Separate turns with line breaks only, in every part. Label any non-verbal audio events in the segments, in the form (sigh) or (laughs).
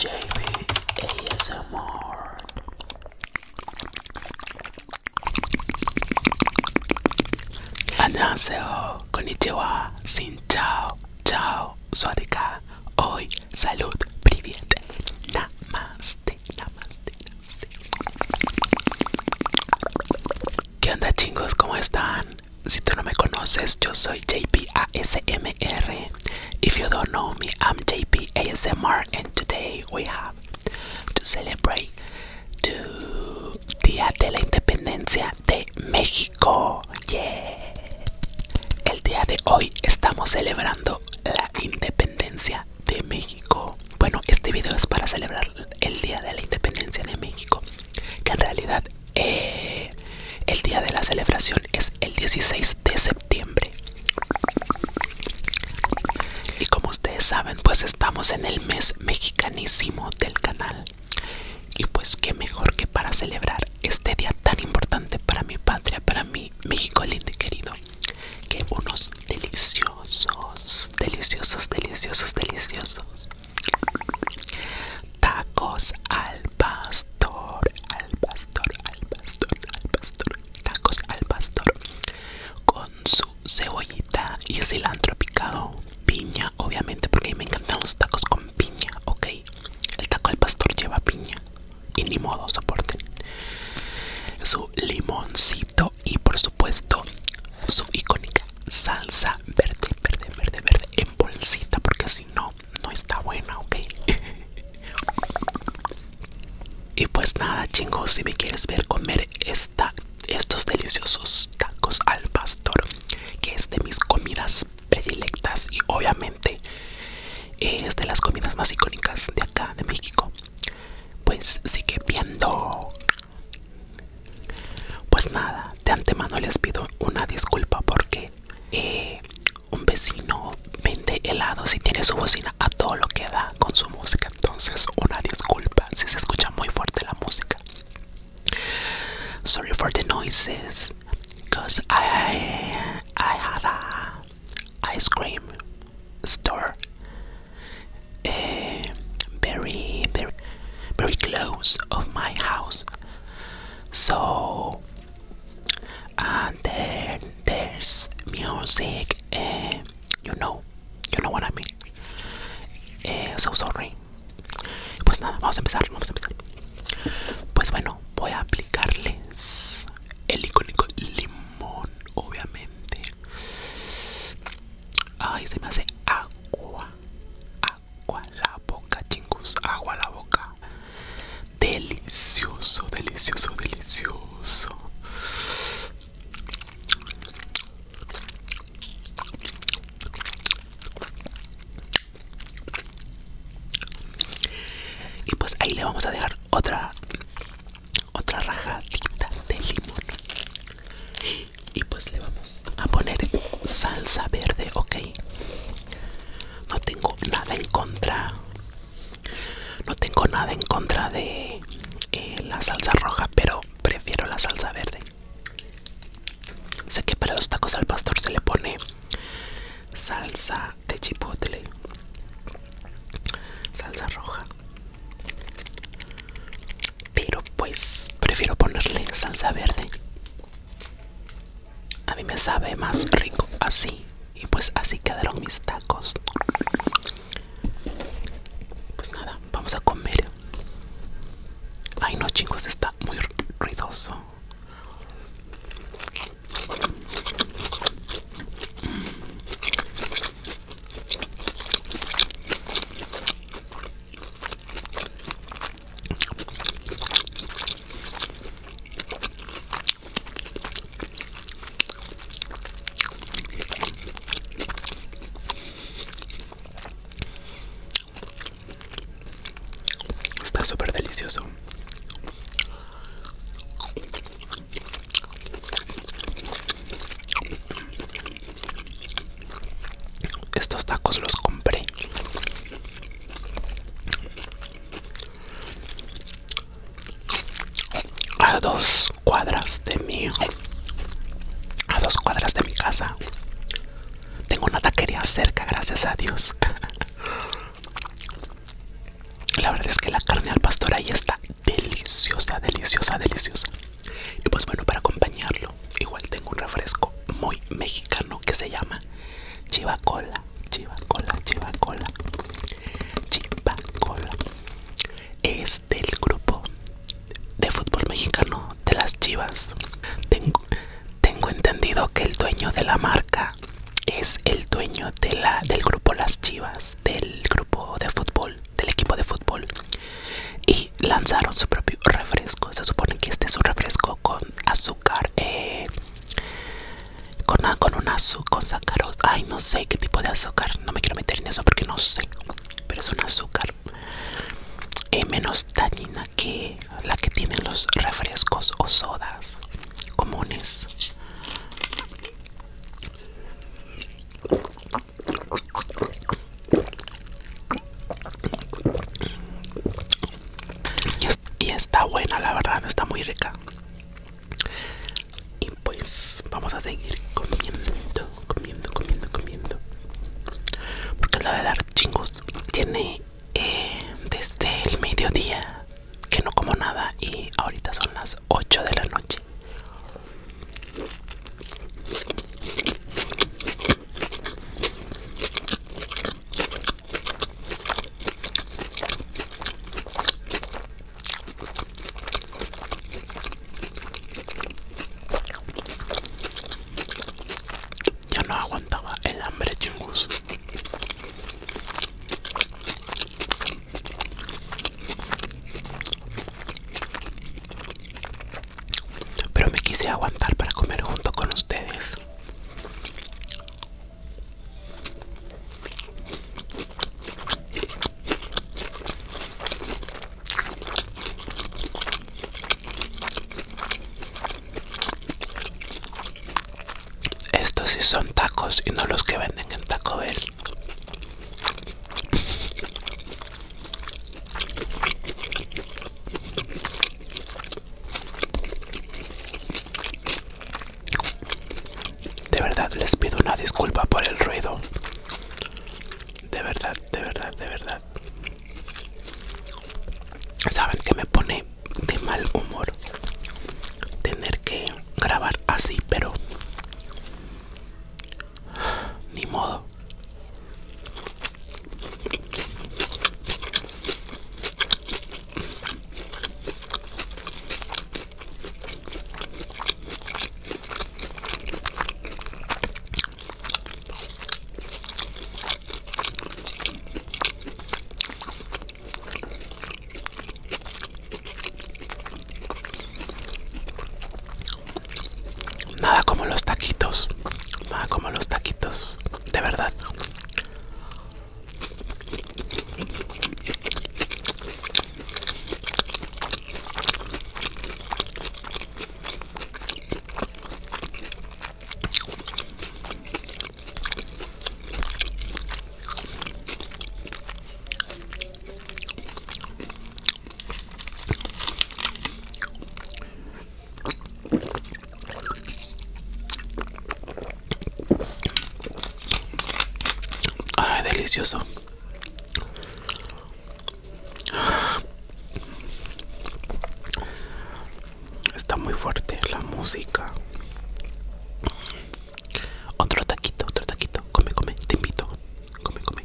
JB ASMR Annyeonghaseyo, konnichiwa, sin chao, chao, suadica hoy, salud, namaste, namaste, ¿Qué onda chingos? ¿Cómo están? Si tú no me conoces, yo soy JP ASMR. If you don't know me, I'm JP ASMR, and today we have to celebrate Día de la Independencia de México. Yeah. El día de hoy estamos celebrando la independencia de México. Bueno, este video es para celebrar el Día de la Independencia de México que en realidad eh, el día de la celebración es el 16 de septiembre y como ustedes saben pues estamos en el mes mexicanísimo del canal y pues qué mejor que para celebrar este día tan importante para mi patria para mi México lindo y querido que unos deliciosos deliciosos, deliciosos, deliciosos, Tacos al pastor, al pastor, al pastor, al pastor. Tacos al pastor con su cebollita y cilantro picado, piña, obviamente, porque me encantan los tacos con piña, ¿ok? El taco al pastor lleva piña y ni modo soporten. Su limoncito y por supuesto su icónica salsa verde, verde, verde, verde en bolsita porque si no, no está buena, ok. (laughs) y pues nada, chingos, si me quieres ver comer esta, estos deliciosos tacos al pastor, que es de mis comidas predilectas y obviamente eh, es de las comidas más icónicas de acá de México. Pues sigue viendo pues nada, de antemano les pido una disculpa porque eh, un vecino vende helados y tiene su bocina a todo lo que da con su música. Entonces, una disculpa si se escucha muy fuerte la música. Sorry for the noises, cause I I had ice cream store. Eh, very, very, very close of my house. So, and then there's music. Uh, you know, you know what I mean. Eh, so sorry. Pues nada, vamos a empezar, vamos a empezar. Pues bueno, voy a aplicarles el icónico limón, obviamente, Ay, se me hace agua. Agua la boca, chingos. Agua la boca. Delicioso, delicioso, delicioso. Y pues ahí le vamos a dejar otra otra rajadita de limón y pues le vamos a poner salsa verde ok no tengo nada en contra no tengo nada en contra de eh, la salsa roja pero prefiero la salsa verde sé que para los tacos al pastor se le pone salsa de chipotle salsa roja pero pues prefiero ponerle salsa verde. A mí me sabe más rico así. Y pues así quedaron mis tacos. Pues nada, vamos a comer. Ay no chicos, está muy ruidoso. Está súper delicioso. Estos tacos los compré a dos cuadras de mi a dos cuadras de mi casa. Tengo una taquería cerca, gracias a Dios. (laughs) La verdad es que la carne al pastor ahí está deliciosa, deliciosa, deliciosa. Y pues bueno, para acompañarlo, igual tengo un refresco muy mexicano que se llama Chivacola, Chivacola, Chivacola, Chivacola. Es del grupo de fútbol mexicano de las Chivas. Tengo, tengo entendido que el dueño de la marca es el dueño de la, del grupo Las Chivas, del grupo de fútbol, del equipo de fútbol. Y lanzaron su propio refresco. Se supone que este es un refresco con azúcar, eh, con, ah, con un azúcar, con sacaros. Ay, no sé qué tipo de azúcar. No me quiero meter en eso porque no sé. Pero es un azúcar eh, menos dañina que la que tienen los refrescos o sodas comunes. Y está buena, la verdad, está muy rica. Y pues vamos a seguir comiendo, comiendo, comiendo, comiendo. Porque la de dar chingos tiene eh, desde el mediodía que no como nada y ahorita son las 8 de la noche. Ya no aguantaba el hambre, chungus. Pero me quise aguantar para comer junto con ustedes. Estos sí son tacos y no los que venden en Taco Bell. De verdad les pido una disculpa por el ruido. De verdad, de verdad, de verdad saben que me pone de mal humor tener que grabar así, pero ni modo. Nada como los taquitos, nada como los taquitos, de verdad. Ay, delicioso. Está muy fuerte la música. Otro taquito, otro taquito. Come, come, te invito. Come, come.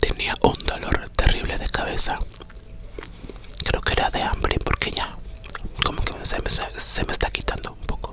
Tenía un dolor terrible de cabeza. Creo que era de hambre porque ya como que se me, está quitando un poco.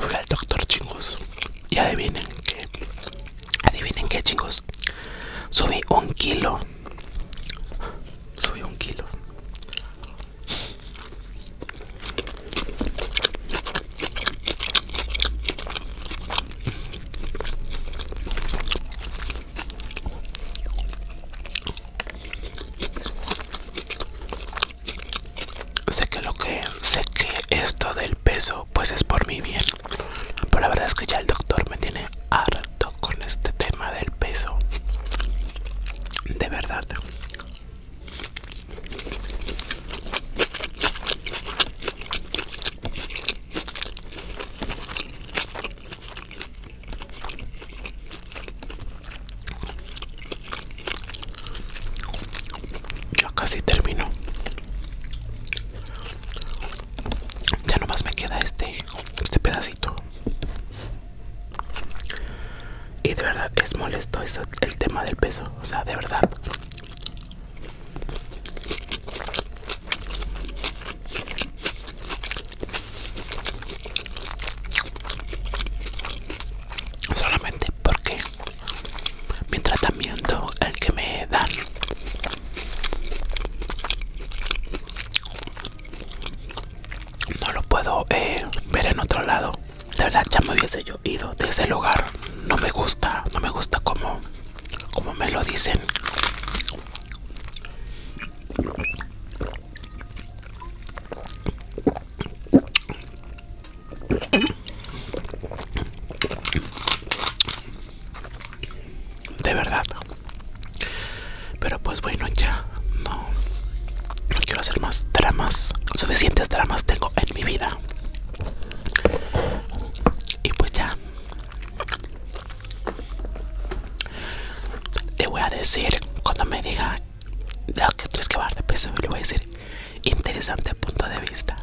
fui al doctor chingos y adivinen qué adivinen qué, chingos subí un kilo subí un kilo sé que lo que sé que esto del peso pues es por mi bien pero la verdad es que ya el doctor me tiene harto con este tema del peso de verdad ya casi termino. Ya nomás me queda este, este pedacito. Y de verdad es molesto el tema del peso. O sea, de verdad. Solamente porque mi tratamiento, el que me dan, no lo puedo eh, ver en otro lado. La verdad ya me hubiese yo ido de ese lugar. No me gusta, no me gusta como, como me lo dicen de verdad pero pues bueno ya no quiero hacer más dramas suficientes dramas tengo en mi vida y pues ya le voy a decir cuando me diga que tienes que bajar de peso le voy a decir interesante punto de vista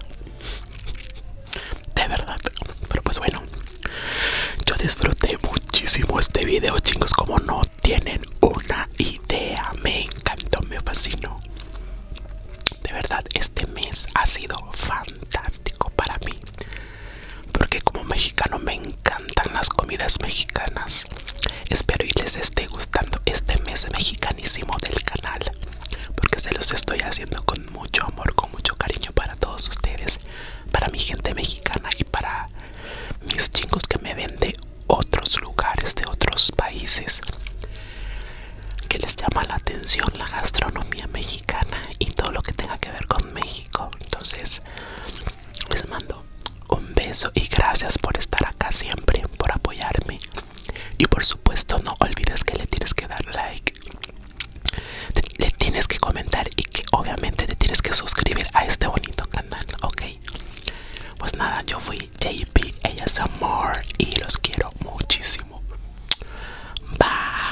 de verdad pero pues bueno yo disfruté muchísimo este video chicos como no tienen una idea me encantó me fascinó de verdad este mes ha sido fantástico para mí porque como mexicano me encantan las comidas mexicanas. Espero y les esté gustando este mes mexicanísimo del canal, porque se los estoy haciendo con mucho amor, con mucho cariño para todos ustedes, para mi gente mexicana y para mis chicos que me ven de otros lugares, de otros países, que les llama la atención la gastronomía mexicana y todo lo que tenga que ver con México. Entonces, les mando un beso y gracias por estar acá siempre, por apoyarme. Y por supuesto no olvides que le tienes que dar like, le tienes que comentar y que obviamente te tienes que suscribir a este bonito canal, ¿ok? Pues nada, yo fui JP, ella es Amor y los quiero muchísimo. Bye.